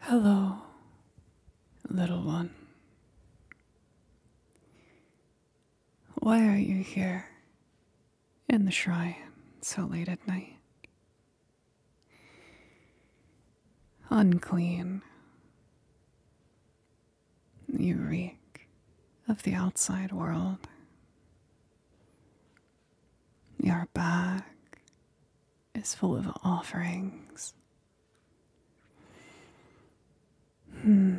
Hello, little one. Why are you here in the shrine so late at night? Unclean. You reek of the outside world. You're back is full of offerings. Hmm.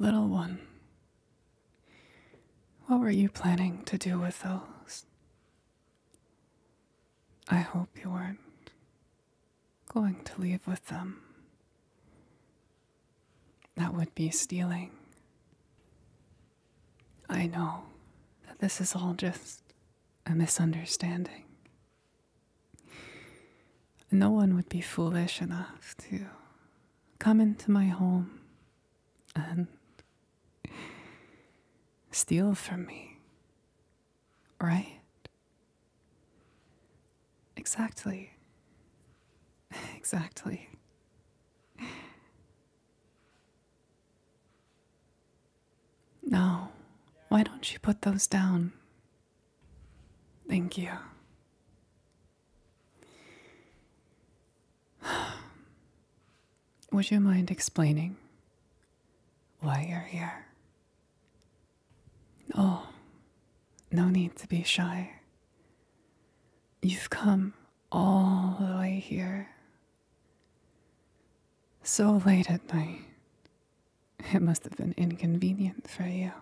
Little one, what were you planning to do with those? I hope you weren't going to leave with them. That would be stealing. I know that this is all just a misunderstanding. No one would be foolish enough to come into my home and steal from me, right? Exactly. Exactly. No, why don't you put those down? Thank you. Would you mind explaining why you're here? Oh, no need to be shy. You've come all the way here. So late at night. It must have been inconvenient for you.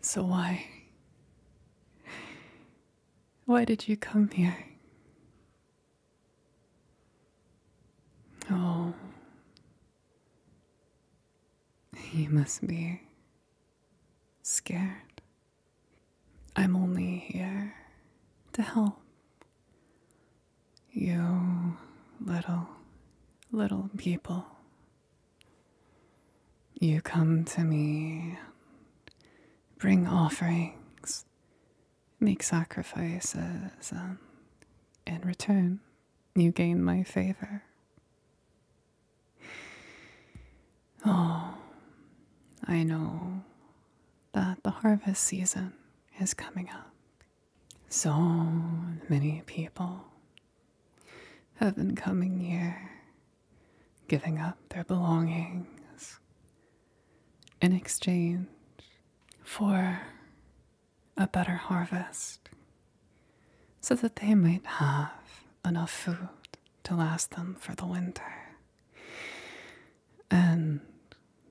So why? Why did you come here? Oh, you must be scared. I'm only here to help you, little, little people. You come to me, bring offerings, make sacrifices, and um, in return, you gain my favor. Oh, I know that the harvest season is coming up. So many people have been coming here, giving up their belongings in exchange for a better harvest so that they might have enough food to last them for the winter. And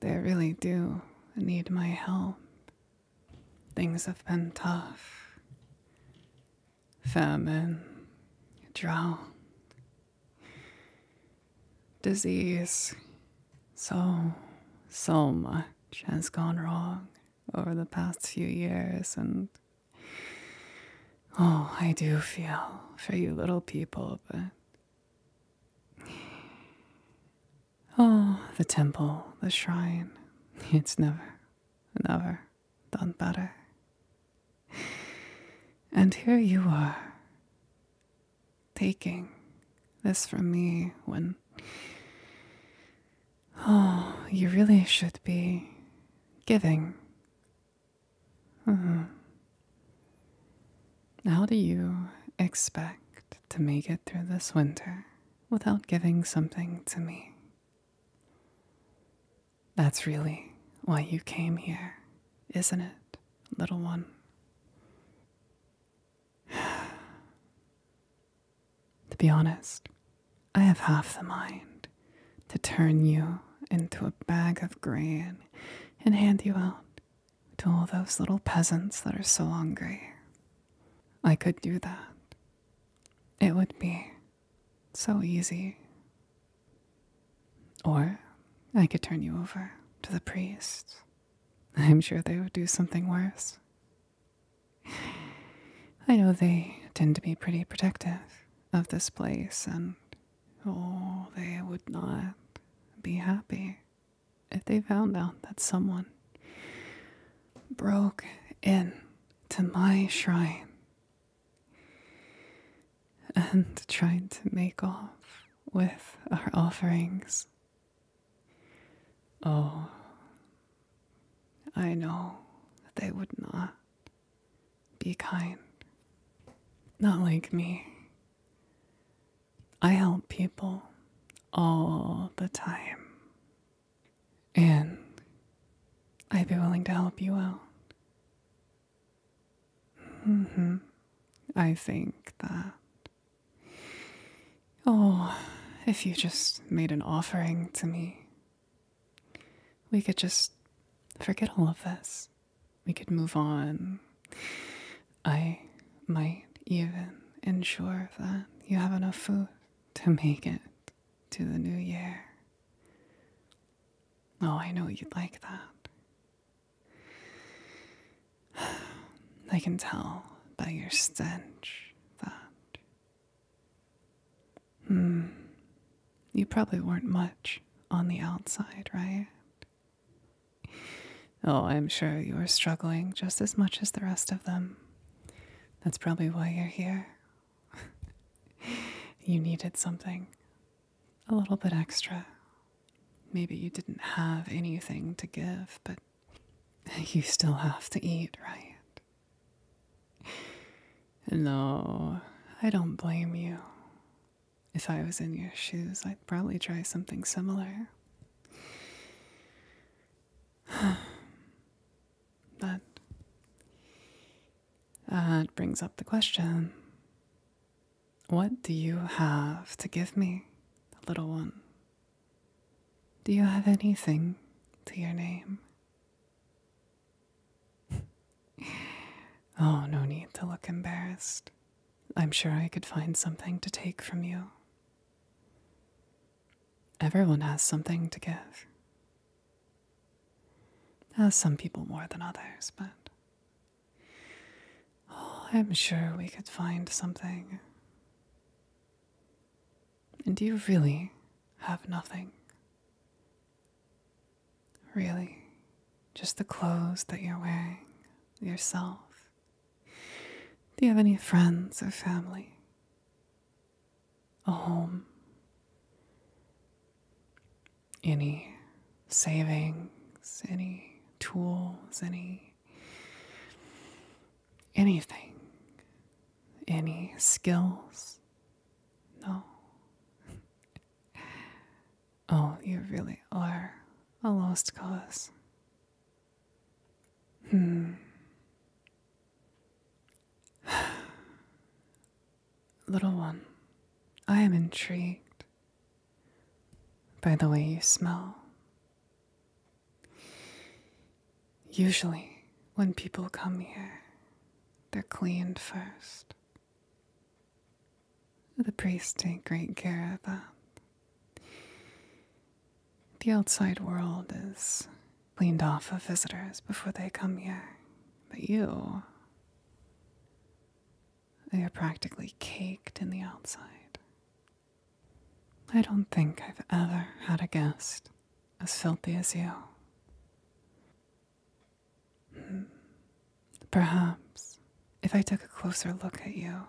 they really do need my help. Things have been tough famine, drought, disease. So, so much has gone wrong over the past few years, and Oh, I do feel for you little people, but. Oh, the temple, the shrine. It's never, never done better. And here you are, taking this from me when. Oh, you really should be giving Mm-hmm. How do you expect to make it through this winter without giving something to me? That's really why you came here, isn't it, little one? to be honest, I have half the mind to turn you into a bag of grain and hand you out to all those little peasants that are so hungry. I could do that. It would be so easy. Or I could turn you over to the priests. I'm sure they would do something worse. I know they tend to be pretty protective of this place and Oh, they would not be happy if they found out that someone broke in to my shrine and tried to make off with our offerings. Oh, I know that they would not be kind. Not like me. I help people all the time. And I'd be willing to help you out. Mm-hmm. I think that. Oh, if you just made an offering to me, we could just forget all of this. We could move on. I might even ensure that you have enough food to make it to the new year. Oh, I know you'd like that. I can tell by your stench that Hmm. You probably weren't much on the outside, right? Oh, I'm sure you were struggling just as much as the rest of them. That's probably why you're here. you needed something a little bit extra. Maybe you didn't have anything to give, but you still have to eat, right? No, I don't blame you. If I was in your shoes, I'd probably try something similar. but that brings up the question What do you have to give me, little one? Do you have anything to your name? oh, no need to look embarrassed. I'm sure I could find something to take from you. Everyone has something to give. Uh, some people more than others, but oh, I'm sure we could find something. And you really have nothing. Really, just the clothes that you're wearing, yourself. Do you have any friends or family? A home? Any savings, any tools, any. anything? Any skills? No. Oh, you really are a lost cause. Hmm. Little one, I am intrigued by the way you smell. Usually, when people come here, they're cleaned first. The priests take great care of that. The outside world is cleaned off of visitors before they come here, but you. They are practically caked in the outside. I don't think I've ever had a guest as filthy as you. Perhaps if I took a closer look at you,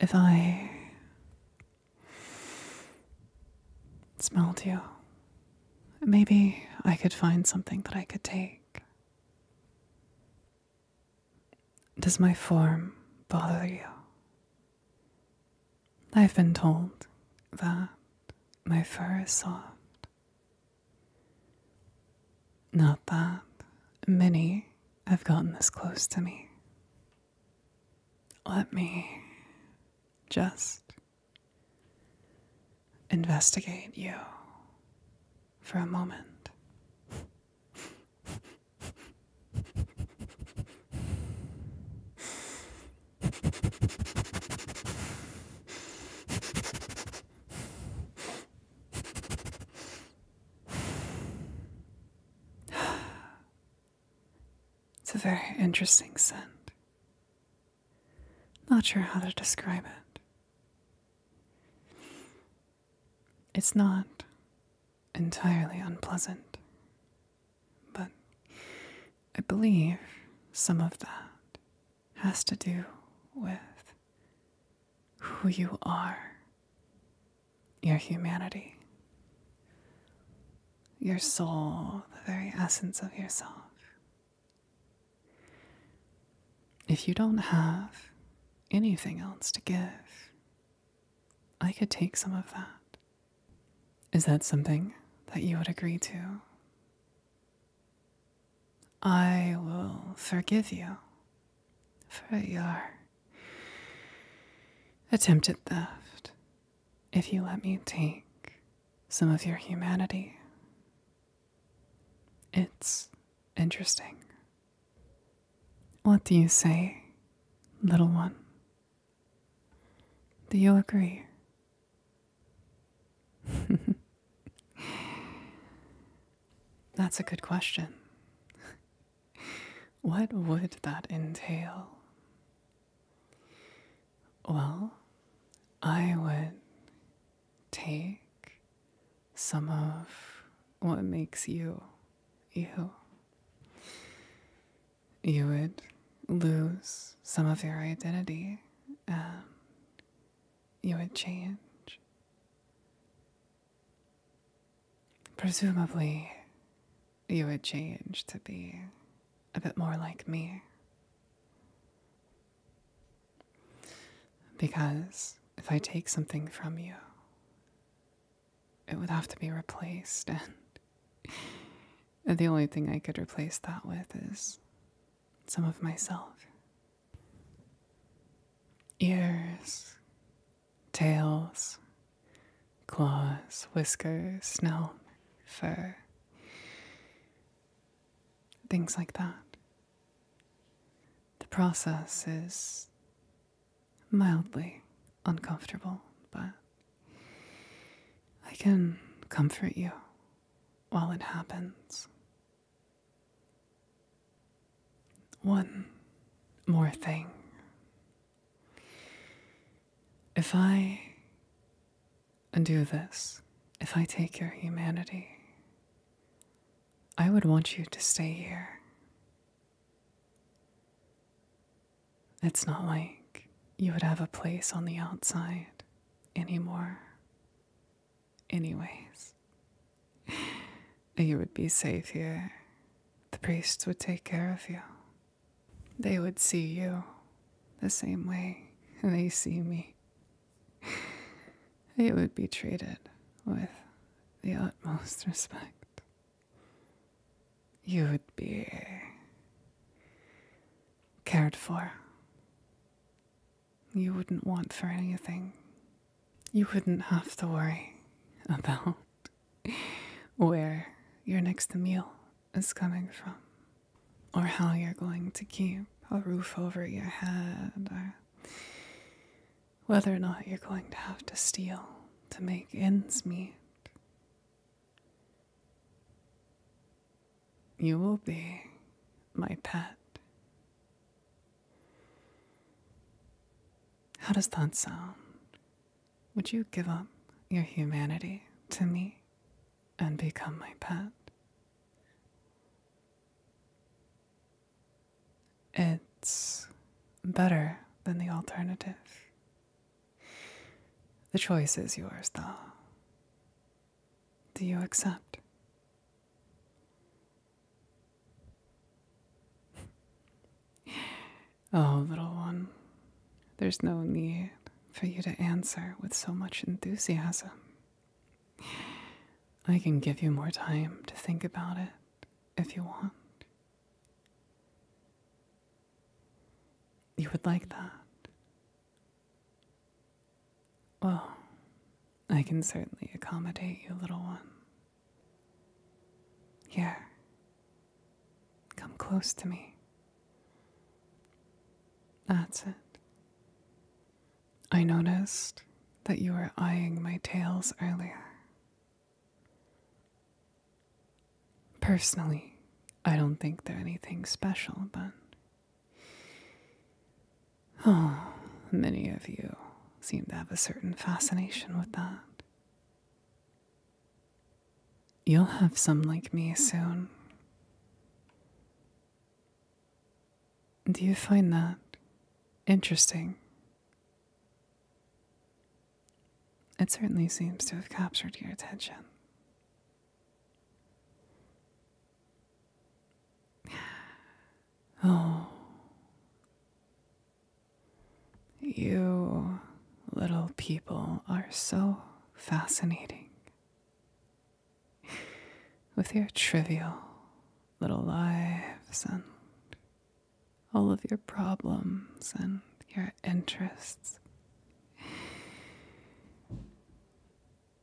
if I smelled you, maybe I could find something that I could take. Does my form bother you? I've been told that my fur is soft not that many have gotten this close to me. Let me just investigate you for a moment. it's a very interesting scent. Not sure how to describe it. It's not entirely unpleasant, but I believe some of that has to do with who you are, your humanity, your soul, the very essence of yourself. If you don't have anything else to give, I could take some of that. Is that something that you would agree to? I will forgive you for your attempted theft if you let me take some of your humanity. It's interesting. What do you say, little one? Do you agree? That's a good question. what would that entail? Well, I would take some of what makes you you. You would lose some of your identity um, you would change. Presumably, you would change to be a bit more like me. Because if I take something from you, it would have to be replaced, and the only thing I could replace that with is some of myself. Ears, tails, claws, whiskers, snout, fur, things like that. The process is mildly uncomfortable, but I can comfort you while it happens. One more thing. If I do this, if I take your humanity, I would want you to stay here. It's not like you would have a place on the outside anymore. Anyways, you would be safe here. The priests would take care of you. They would see you the same way they see me. They would be treated with the utmost respect. You would be cared for. You wouldn't want for anything. You wouldn't have to worry about where your next meal is coming from, or how you're going to keep a roof over your head, or whether or not you're going to have to steal to make ends meet. You will be my pet. How does that sound? Would you give up your humanity to me and become my pet? It's better than the alternative. The choice is yours, though. Do you accept? oh, little one, there's no need for you to answer with so much enthusiasm. I can give you more time to think about it if you want. You would like that, well, I can certainly accommodate you, little one. Here, come close to me. That's it. I noticed that you were eyeing my tails earlier. Personally, I don't think they're anything special, but Oh, many of you seem to have a certain fascination with that. You'll have some like me soon. Do you find that interesting? It certainly seems to have captured your attention. Oh, you little people are so fascinating with your trivial little lives and all of your problems and your interests.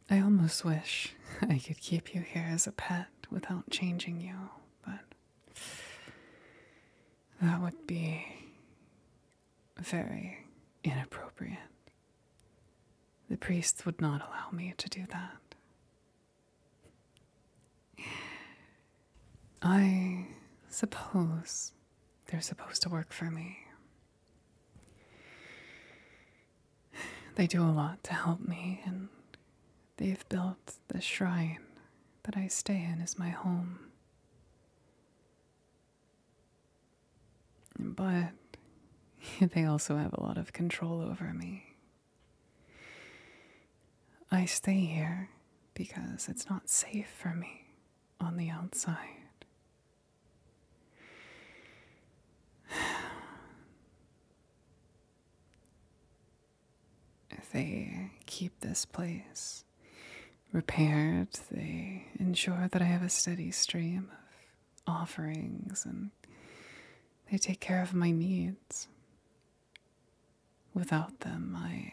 I almost wish I could keep you here as a pet without changing you, but that would be very inappropriate. The priests would not allow me to do that. I suppose they're supposed to work for me, they do a lot to help me, and they've built the shrine that I stay in as my home. But they also have a lot of control over me. I stay here because it's not safe for me on the outside. They keep this place repaired. They ensure that I have a steady stream of offerings and they take care of my needs. Without them, I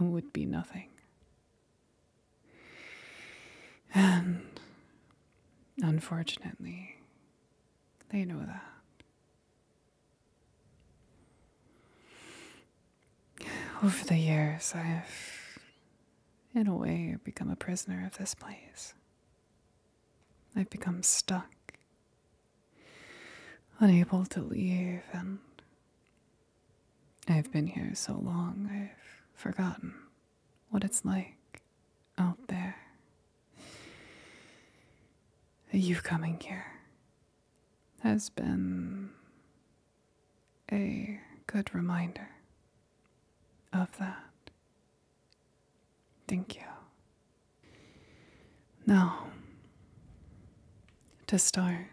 would be nothing. And unfortunately, they know that. Over the years, I've, in a way, become a prisoner of this place. I've become stuck, unable to leave, and I've been here so long I've forgotten what it's like out there. You coming here has been a good reminder of that. Thank you. Now, to start,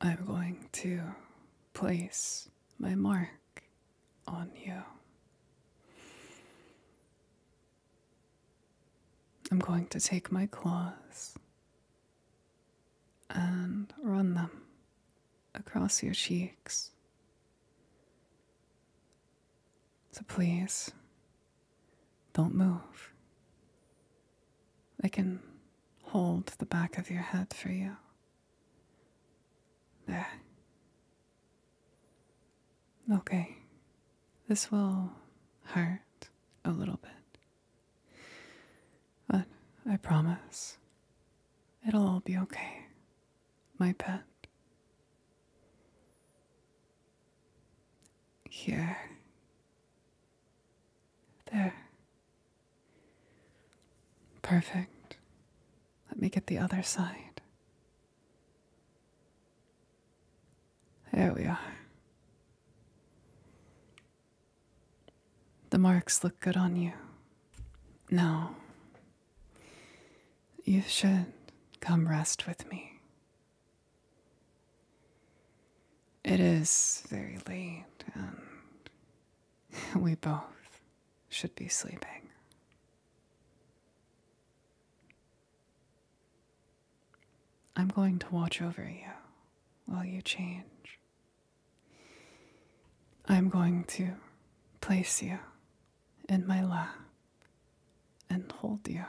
I'm going to place my mark on you. I'm going to take my claws and run them across your cheeks. So please, don't move. I can hold the back of your head for you there. Okay. This will hurt a little bit. But I promise it'll all be okay, my pet. Here. There. Perfect. Let me get the other side. There we are. The marks look good on you. Now, you should come rest with me. It is very late and we both should be sleeping. I'm going to watch over you while you change. I'm going to place you in my lap and hold you.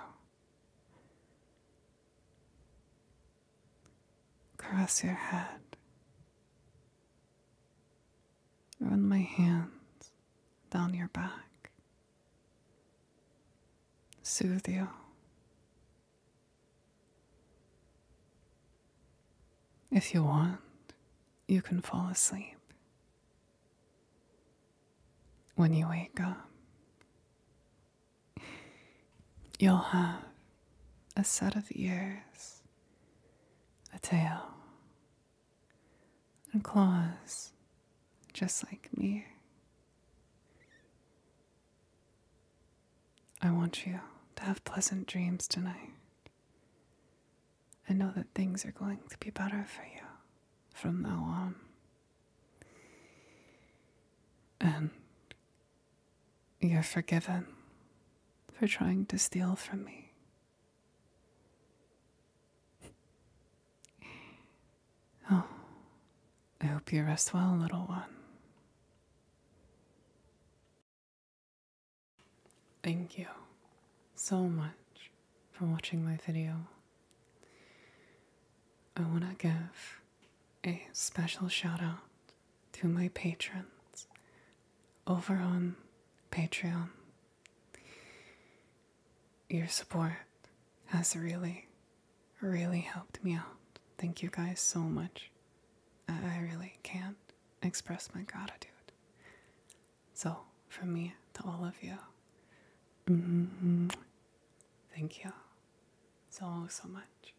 Cross your head Run my hands down your back, soothe you. If you want, you can fall asleep. When you wake up, you'll have a set of ears a tail, and claws just like me. I want you to have pleasant dreams tonight. I know that things are going to be better for you from now on. And you're forgiven for trying to steal from me. Oh, I hope you rest well, little one. Thank you so much for watching my video. I want to give a special shout out to my patrons over on Patreon. Your support has really, really helped me out. Thank you guys so much. I really can't express my gratitude. So, from me to all of you, mm-hmm. thank you so, so much.